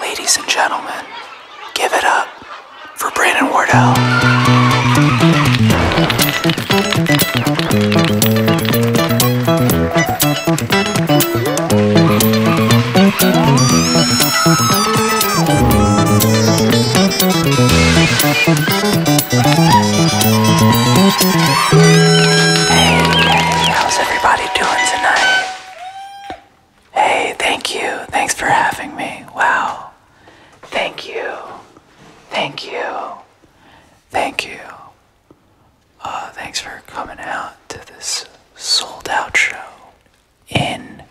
Ladies and gentlemen, give it up for Brandon Wardell. Hey, how's everybody? everybody doing tonight? Hey, thank you. Thanks for having me. Wow. Thank you. Thank you. Thank you. Uh, thanks for coming out to this sold out show in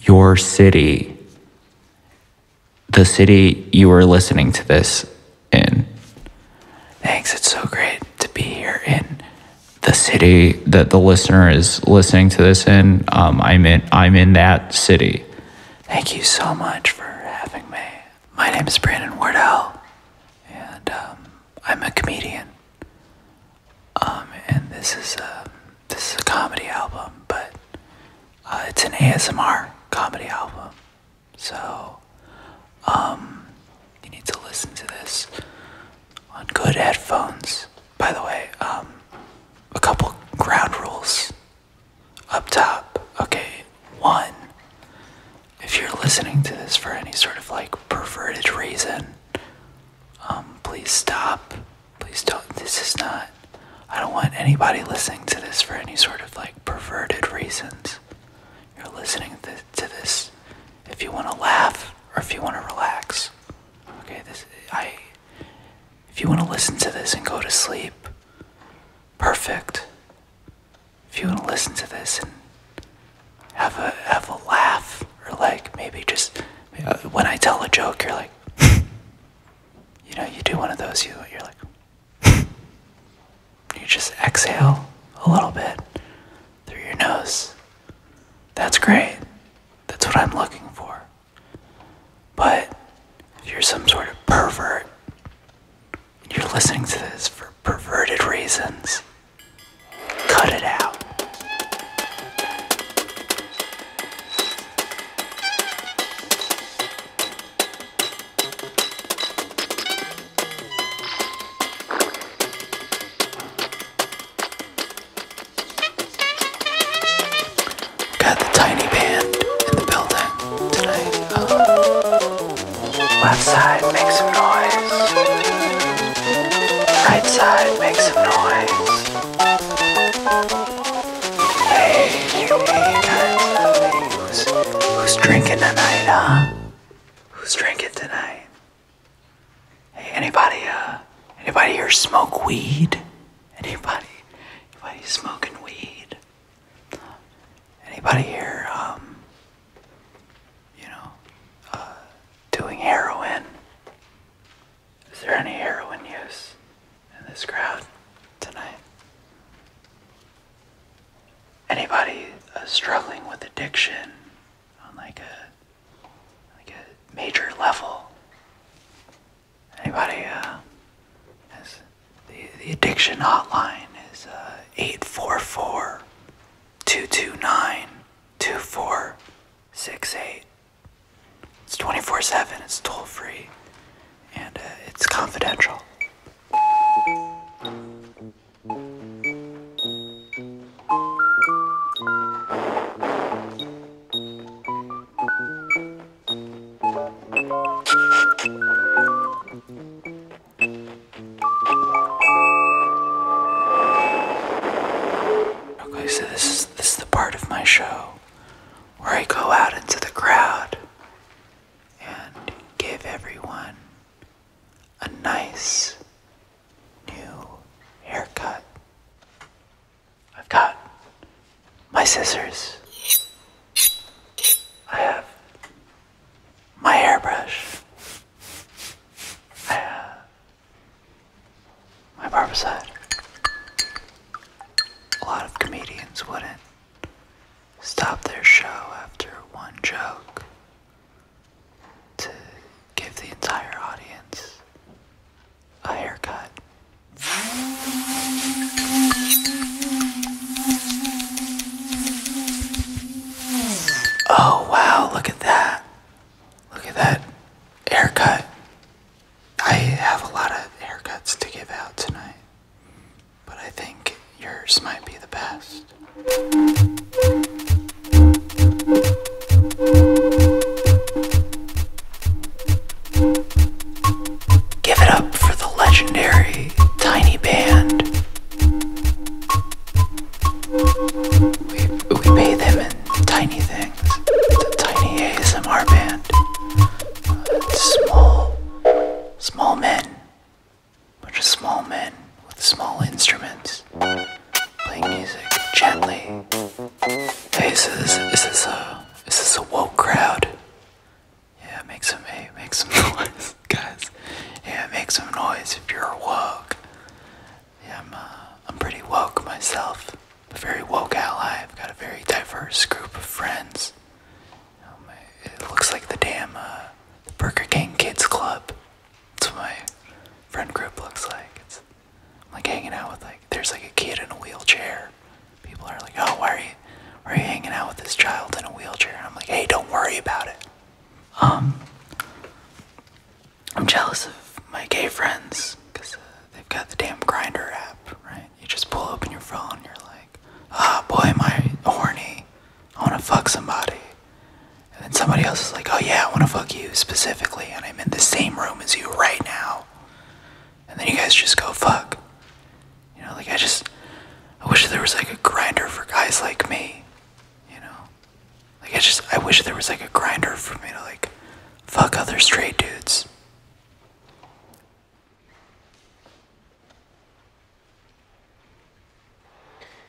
your city, the city you are listening to this in. Thanks. It's so great to be here in the city that the listener is listening to this in. Um, I'm in. I'm in that city. Thank you so much for having me. My name is Brandon Wardell, and um, I'm a comedian. Um, and this is a this is a comedy album, but uh, it's an ASMR comedy album. So, um, you need to listen to this on good headphones. By the way, um, a couple ground rules up top. Okay, one, if you're listening to this for any sort of like perverted reason, um, please stop. Please don't. This is not. I don't want anybody listening to this for any sort of like perverted reasons you're listening to this if you want to laugh or if you want to relax. Okay, this I if you want to listen to this and go to sleep, perfect. If you want to listen to this and have a have a laugh or like maybe just uh, when I tell a joke, you're like, you know, you do one of those, you you're like you just exhale a little bit through your nose. That's great. That's what I'm looking for. But if you're some sort of pervert, you're listening to this for perverted reasons, cut it out. Got the tiny band in the building tonight. Uh, left side, make some noise. Right side, make some noise. Hey, hey guys, who's, who's drinking tonight, huh? Who's drinking tonight? Hey, anybody, uh, anybody here smoke weed? Anybody, anybody smoking weed? Anybody here, um, you know, uh, doing heroin? Is there any heroin use in this crowd tonight? anybody uh, struggling with addiction on like a like a major level. Anybody uh, has the the addiction hotline is uh, 844 229 2468. It's 24 7, it's toll free, and uh, it's confidential. Okay, so this is this is the part of my show where I go out into the crowd and give everyone a nice new haircut. I've got my scissors. I have my hairbrush. I have my barbicide. A lot of comedians wouldn't stop their show after one joke to give the entire audience a haircut. Oh wow, look at that. Look at that haircut. I have a lot of haircuts to give out tonight. But I think yours might be the best. Give it up for the legendary Tiny Band. We, we pay them in tiny things. The Tiny ASMR Band. Small, small men bunch of small men with small instruments playing music gently. Faces. is this a is this a woke crowd? Yeah, make some make some noise, guys. Yeah, make some noise if you're woke. Yeah, I'm uh, I'm pretty woke myself. a very woke ally. I've got a very diverse group of friends. Um, it looks like the damn uh, Burger King Kids Club. That's what my friend group looks like. It's like hanging out with like there's like a kid in a wheelchair. People are like, oh, why are you, why are you hanging out with this child in a wheelchair? And I'm like, hey, don't worry about it. Um, I'm jealous of my gay friends because uh, they've got the damn grinder app, right? You just pull open your phone, you're like, ah, oh, boy, am I horny. I want to fuck somebody. And then somebody else is like, oh, yeah, I want to fuck you specifically, and I'm in the same room as you right now. And then you guys just go fuck. You know, like, I just, I wish there was like a grinder for guys like me. You know? Like, I just, I wish there was like a grinder for me to, like, fuck other straight dudes.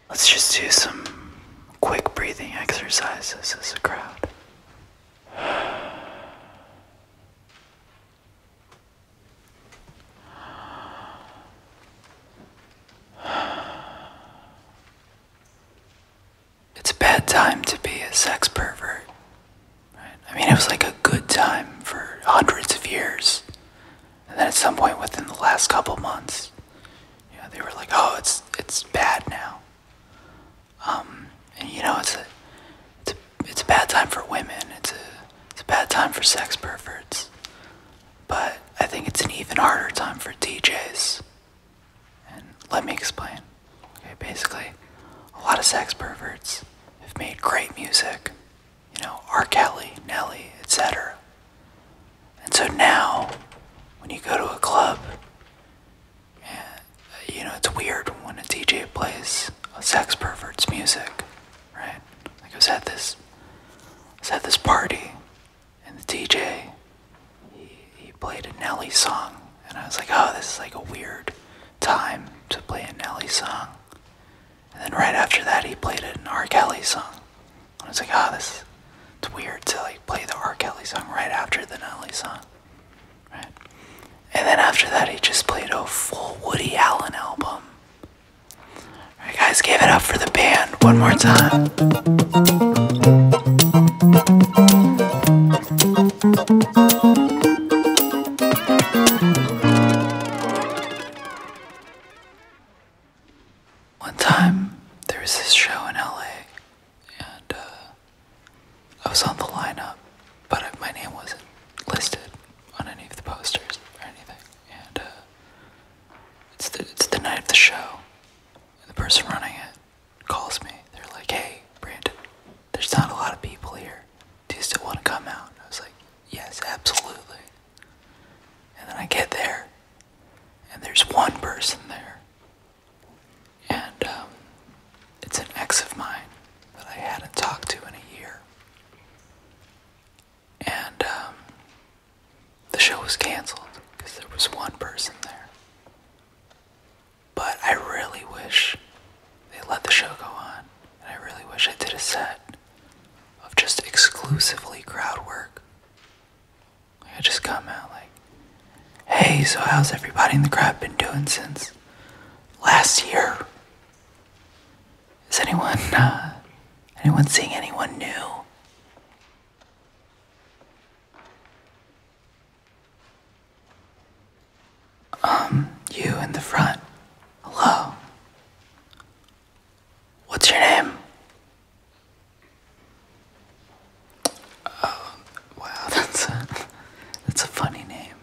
Let's just do some quick breathing exercises as a crowd. It's a bad time to be a sex pervert. I mean, it was like a good time for hundreds of years. And then at some point within the last couple months, you they were like, "Oh, it's it's bad now." Um, and you know, it's a it's a, bad time for women. It's a it's a bad time for sex perverts. But I think it's an even harder time for DJs. And let me explain. Okay, basically, a lot of sex perverts have made great music. You know, R. Kelly, Nelly, etc. And so now, when you go to a club, you know, it's weird when a DJ plays sex pervert's music, right? Like I was at this, was at this party, and the DJ, he, he played a Nelly song, and I was like, oh, this is like a weird time to play a Nelly song. And then right after that, he played an R. Kelly song. And I was like, ah, oh, this it's weird to like play the R. Kelly song right after the Nelly song, right? And then after that, he just played a full Woody Allen album. All right, guys, give it up for the band one more time. One time, there was this show in LA, and uh, I was on the lineup, but my name wasn't listed on any of the posters or anything. And uh, it's, the, it's the night of the show, and the person running it calls me. They're like, hey, Brandon, there's not a lot of people here. Do you still want to come out? I was like, yes, absolutely. And then I get there, and there's one person there. And um, it's an ex of mine that I hadn't talked to in a year. And um, the show was canceled because there was one person there. But I really wish they let the show go on, and I really wish I did a set of just exclusively crowd work. I just come out like, hey, so how's everybody in the crowd been doing since last year? Is anyone, uh, anyone seeing anyone new? Um, you in the front. Hello. What's your name? Oh, wow, that's a, that's a funny name.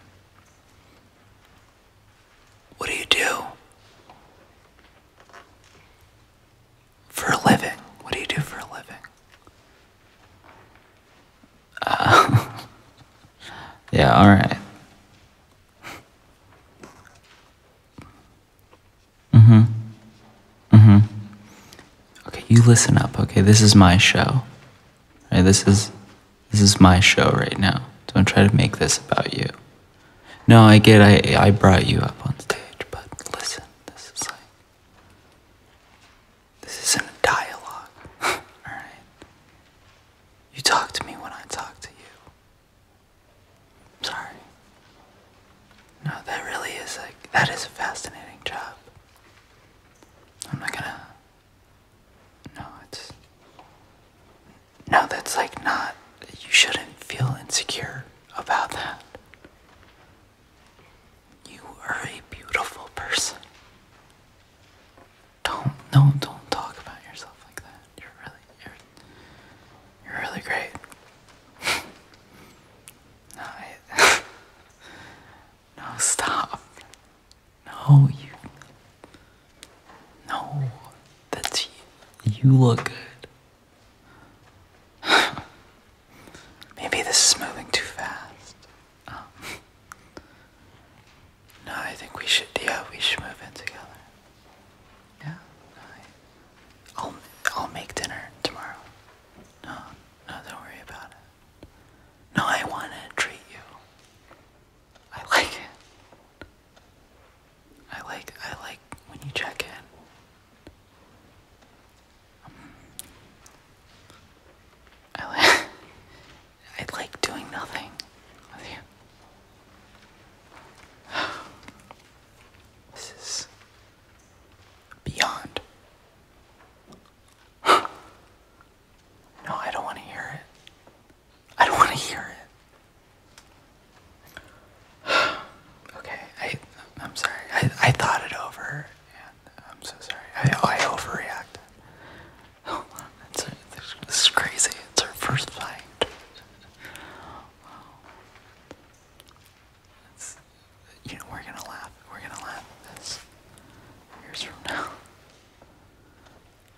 What do you do? For a living. What do you do for a living? yeah, alright. Mm hmm. Mm hmm. Okay, you listen up, okay? This is my show. Right? This is this is my show right now. Don't try to make this about you. No, I get I I brought you up on stage, but listen, this is like this isn't a dialogue. Alright? You talk to me when I talk to you. Sorry. No, that really is like that is a fascinating job. I'm not gonna No, it's No, that's like not you shouldn't feel insecure about that. You are a beautiful person. Don't no don't talk about yourself like that. You're really you're you're really great. no, no stop. No you No that's you you look good. Maybe this is moving too fast. Oh. no, I think we should. Yeah, we should move in together. Yeah. I, will I'll make dinner tomorrow. No, no, don't worry about it. No, I want to treat you. I like it. I like I like when you check in. I like, doing nothing with you. This is beyond. No, I don't want to hear it. I don't want to hear it. Okay, I, am sorry. I, thought it over. I'm so sorry. I, overreacted. it's oh, this is crazy. It's our first fight. you know, we're gonna laugh. We're gonna laugh this years from now.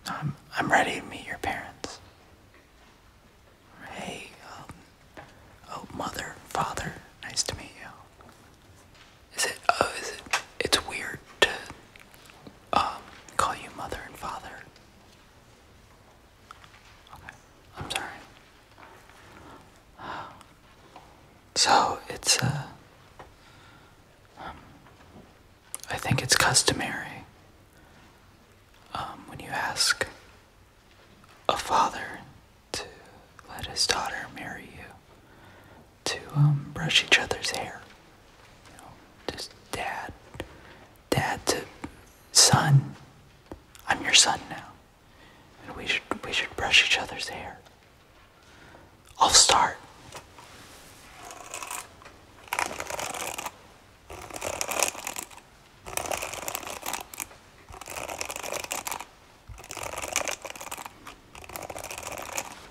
I'm, um, I'm ready to meet your parents. Hey, um, oh, mother, father, nice to meet you. Is it? Oh, is it? It's weird to um, call you mother and father. Okay, I'm sorry. so it's uh, I think it's customary um, when you ask a father to let his daughter marry you, to um, brush each other's hair. You know, just dad, dad to son. I'm your son now, and we should we should brush each other's hair. I'll start.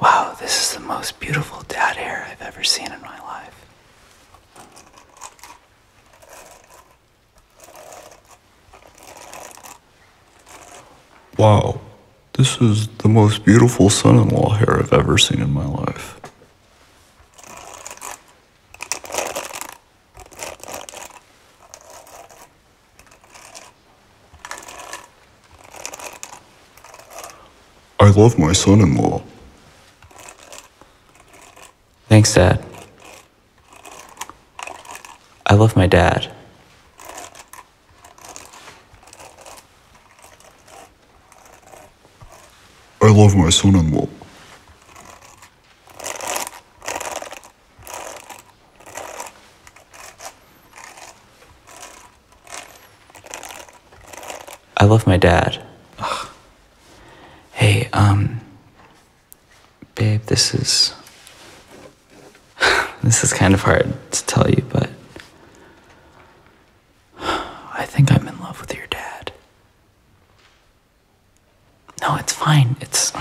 Wow, this is the most beautiful dad hair I've ever seen in my life. Wow, this is the most beautiful son in law hair I've ever seen in my life. I love my son in law. Thanks, Dad. I love my dad. I love my son in law. I love my dad. Hey, um, babe, this is. this is kind of hard to tell you, but. I think I'm in love with your dad. No, it's fine. It's.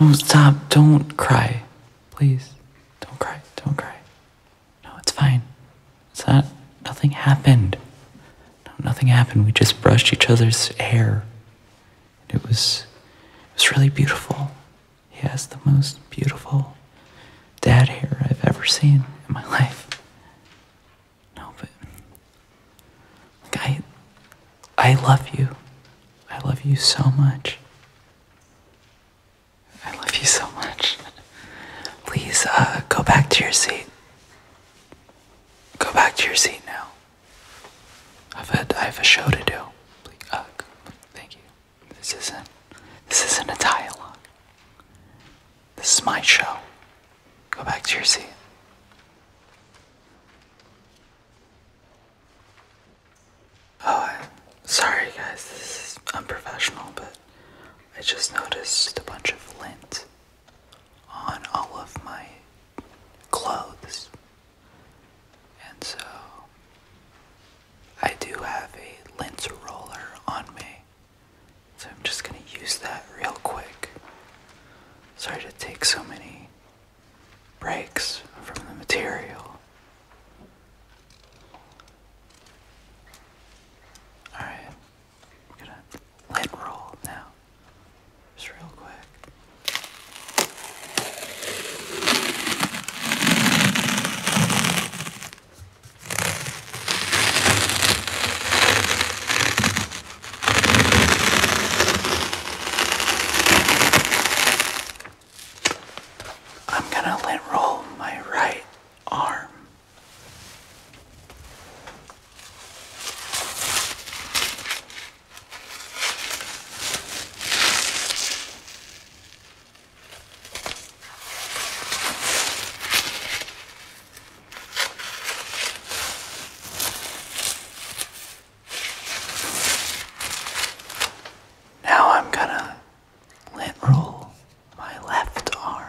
No, stop. Don't cry. Please. Don't cry. Don't cry. No, it's fine. It's not. Nothing happened. No, nothing happened. We just brushed each other's hair. It was. It was really beautiful. He has the most beautiful dad hair I've ever seen in my life. No, but I I love you. I love you so much. I love you so much. Please uh, go back to your seat. Go back to your seat now. I've a, I have a show to do. Uh, thank you. This isn't this isn't a dialogue. This is my show. Go back to your seat. Oh, sorry guys, this is unprofessional, but I just noticed a bunch of lint on all of my clothes. And so I do have a lint roller on me. So I'm just gonna use that real quick. Sorry to take so many breaks from the material. Alright, I'm gonna lid roll now. Just real quick. I'm gonna let roll my right arm. Now I'm gonna lint roll my left arm.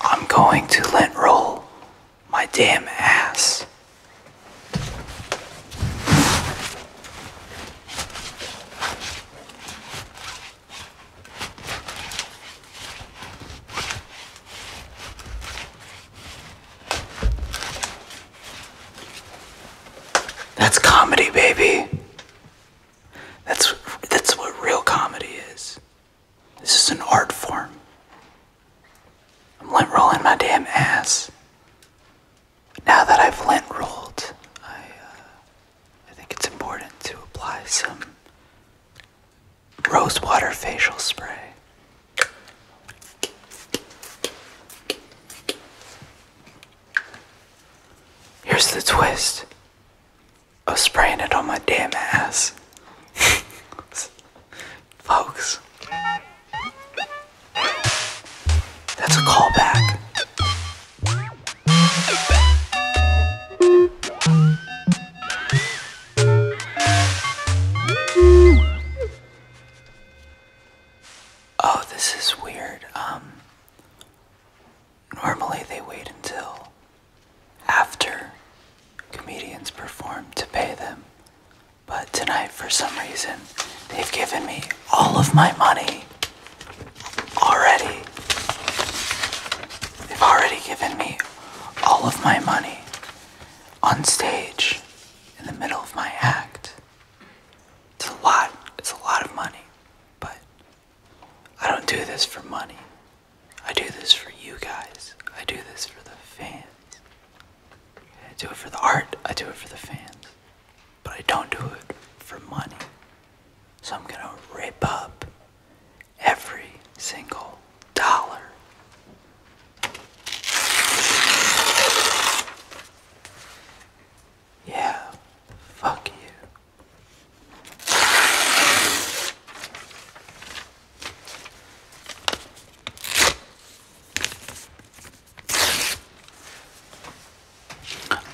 I'm going to let roll my damn ass. That's comedy, baby. That's that's what real comedy is. This is an art form. I'm lint rolling my damn ass. Now that I've lint rolled, I, uh, I think it's important to apply some rosewater facial spray. Here's the twist I was spraying it on my damn ass. Folks. That's a callback. Oh, this is weird. Um Normally, they wait until after comedians perform to pay them. But tonight, for some reason, they've given me all of my money already. They've already given me all of my money on stage in the middle of my act. It's a lot, it's a lot of money, but I don't do this for money. I do this for you guys. I do this for the fans. I do it for the art. I do it for the fans. But I don't do it for money. So I'm gonna rip up every single dollar. Yeah, fuck you.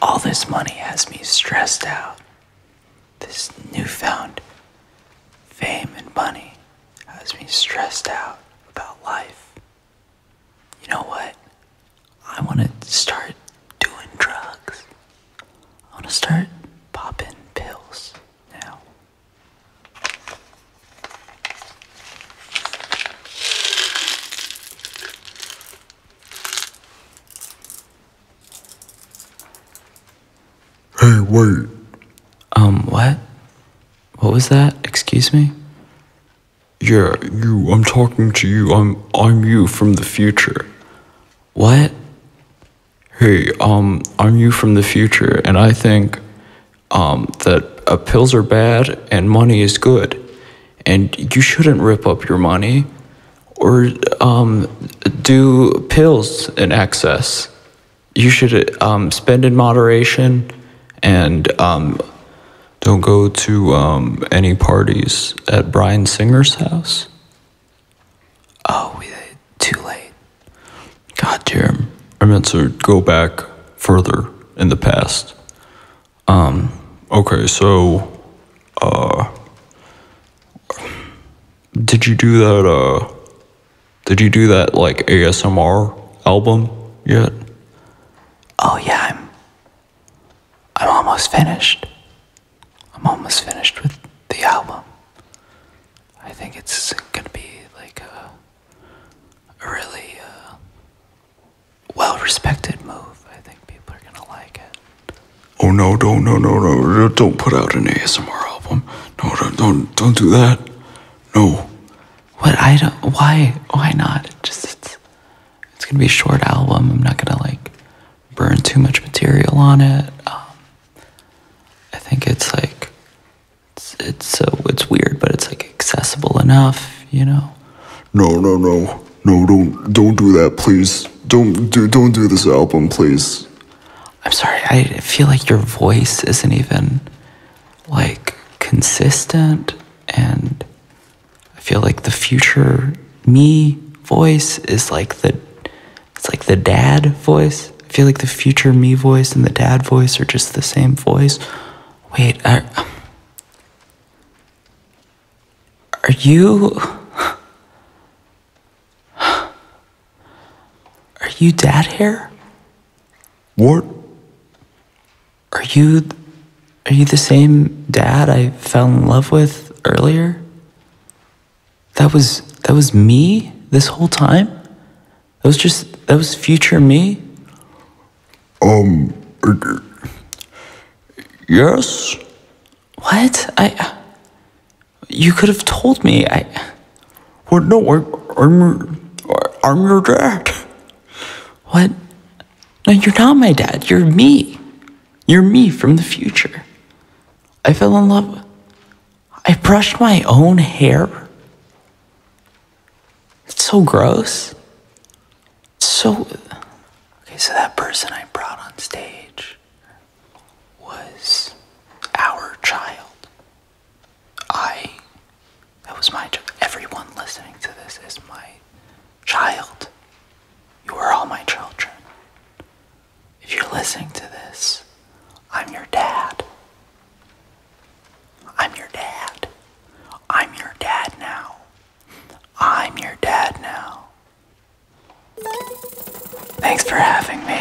All this money has me stressed out. This newfound fame and money has me stressed out about life. You know what? I want to start doing drugs. I want to start popping pills now. Hey, wait. Um, what? What was that? Excuse me? Yeah, you. I'm talking to you. I'm I'm you from the future. What? Hey, um, I'm you from the future, and I think um, that uh, pills are bad and money is good. And you shouldn't rip up your money or um, do pills in excess. You should um, spend in moderation and um, don't go to um any parties at Brian Singer's house. Oh, we did too late. God, damn! I meant to go back further in the past. Um, okay, so, uh, did you do that, uh, did you do that, like, ASMR album yet? Oh, yeah, I'm, I'm almost finished. I'm almost finished with the album. I think it's gonna be like a, a really uh, well respected move. I think people are gonna like it. Oh no, don't, no, no, no, don't put out an ASMR album. No, don't, don't, don't do that. No. What I don't, why, why not? just, it's, it's gonna be a short album. I'm not gonna like burn too much material on it. Um, I think it's like it's, it's so it's weird, but it's like accessible enough, you know. No, no, no, no! Don't don't do that, please. Don't do don't do this album, please. I'm sorry. I feel like your voice isn't even like consistent and I feel like the future me voice is like the it's like the dad voice. I feel like the future me voice and the dad voice are just the same voice. Wait, are are you are you dad here? What? Are you are you the same dad I fell in love with earlier? That was that was me this whole time? That was just that was future me? Um Yes. What? I You could have told me. I What? no, I'm I'm your dad. What? No, you're not my dad. You're me. You're me from the future. I fell in love. I brushed my own hair. It's so gross. so. Okay, so that person I brought on stage was our child. I. That was my child. Everyone listening to this is my Child, you are all my children. If you're listening to this, I'm your dad. I'm your dad. I'm your dad now. I'm your dad now. Thanks for having me.